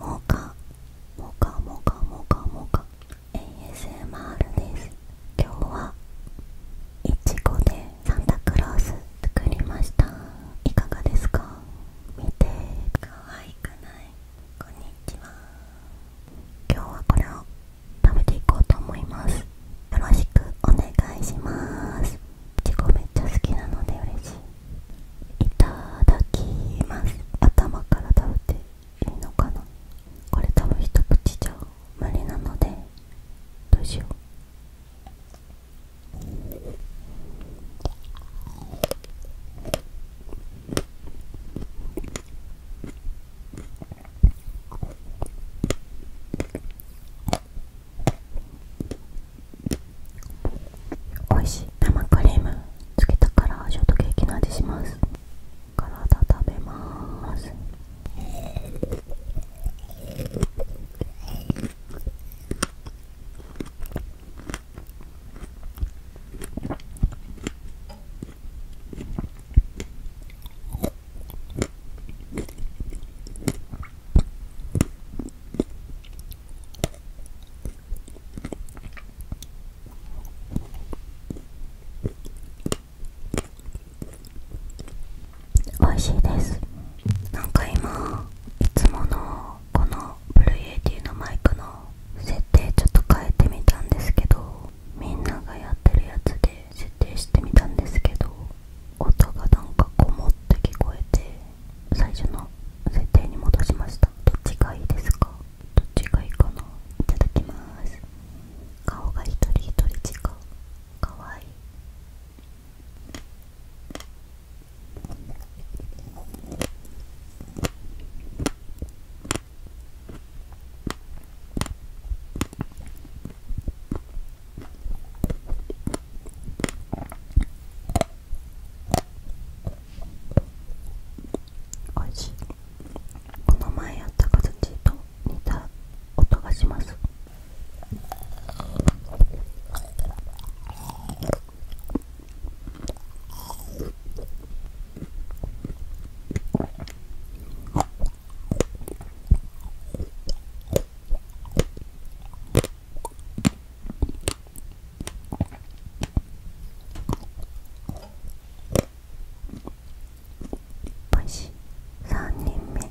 モカもかもかもかもか ASMR です今日はいちごでサンタクロース作りましたいかがですか見て可愛くないこんにちは今日はこれを食べていこうと思いますよろしくお願いしますいちめっちゃ好きなので嬉しいいただきます頭から食べていいのかなこれ多分一口じゃ無理なのでどうしようおいしい生クリームつけたからショートケーキの味します体食べます美味しいですなんか今いつものこのブルーエイティーのマイクの設定ちょっと変えてみたんですけどみんながやってるやつで設定してみたんですけど音がなんかこもって聞こえて最初の設定に戻しましたどっちがいいですかどっちがいいかないただきます顔が一人一人違うかわいいおいしいこの前やった形と似た音がします星3人目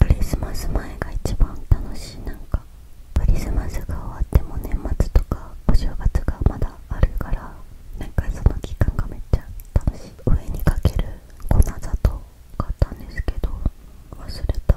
クリスマス前が一番楽しいなんかクリスマスが終わっても年末とかお正月がまだあるからなんかその期間がめっちゃ楽しいお上にかける粉砂糖買ったんですけど忘れた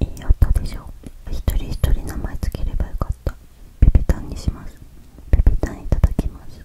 いいあったでしょ一人一人名前つければよかったぺぺたんにしますぺぺたんいただきます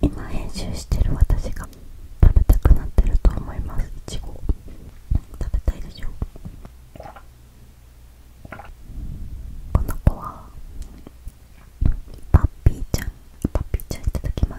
今編集してる私が食べたくなってると思いますいちご食べたいでしょこの子はパッピーちゃんポッピーちゃんいただきます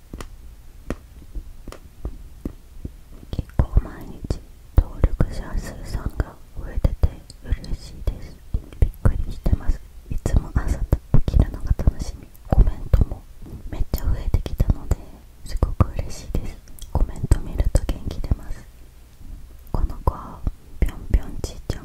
結構毎日登録者数さんが増えてて嬉しいですびっくりしてますいつも朝起きるのが楽しみコメントもめっちゃ増えてきたのですごく嬉しいですコメント見ると元気出ますこの子はぴょんぴょんちーちゃん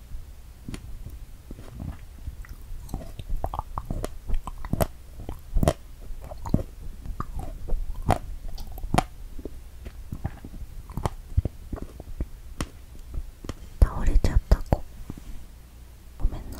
倒れちゃった子ごめんな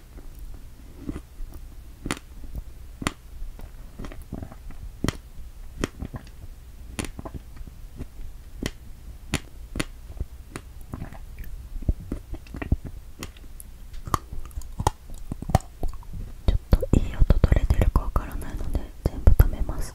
ちょっといい音取れてるかわからないので全部止めます。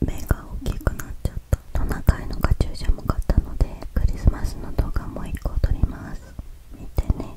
目が大きくなっちゃったトナカイのカチューシャも買ったのでクリスマスの動画も1個撮ります見てね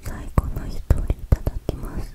最後の1人いただきます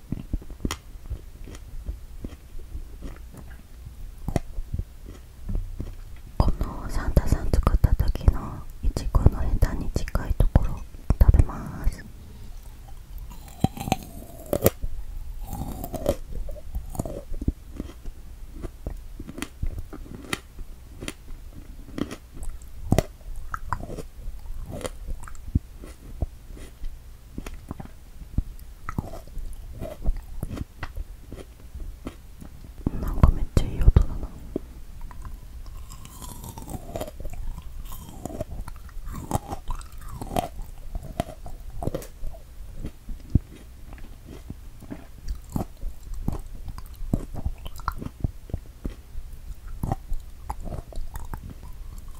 このサンタさん作った時のいちごのヘタに近いところ食べますなんかめっちゃいい音だな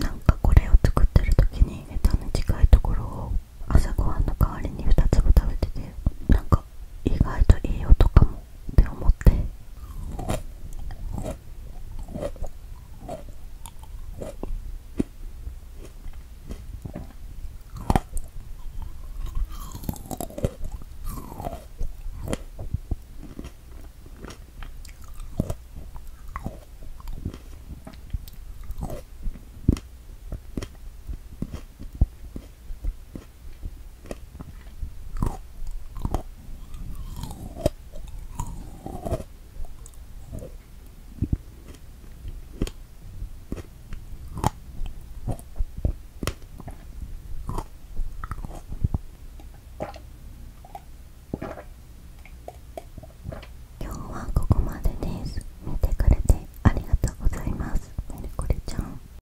なんかこれを作ってる時にヘタに近いところを朝ごはんの代わりに2粒食べててなんか意外といい音かもって思って今日はここまでです見てくれてありがとうございますメルコリちゃん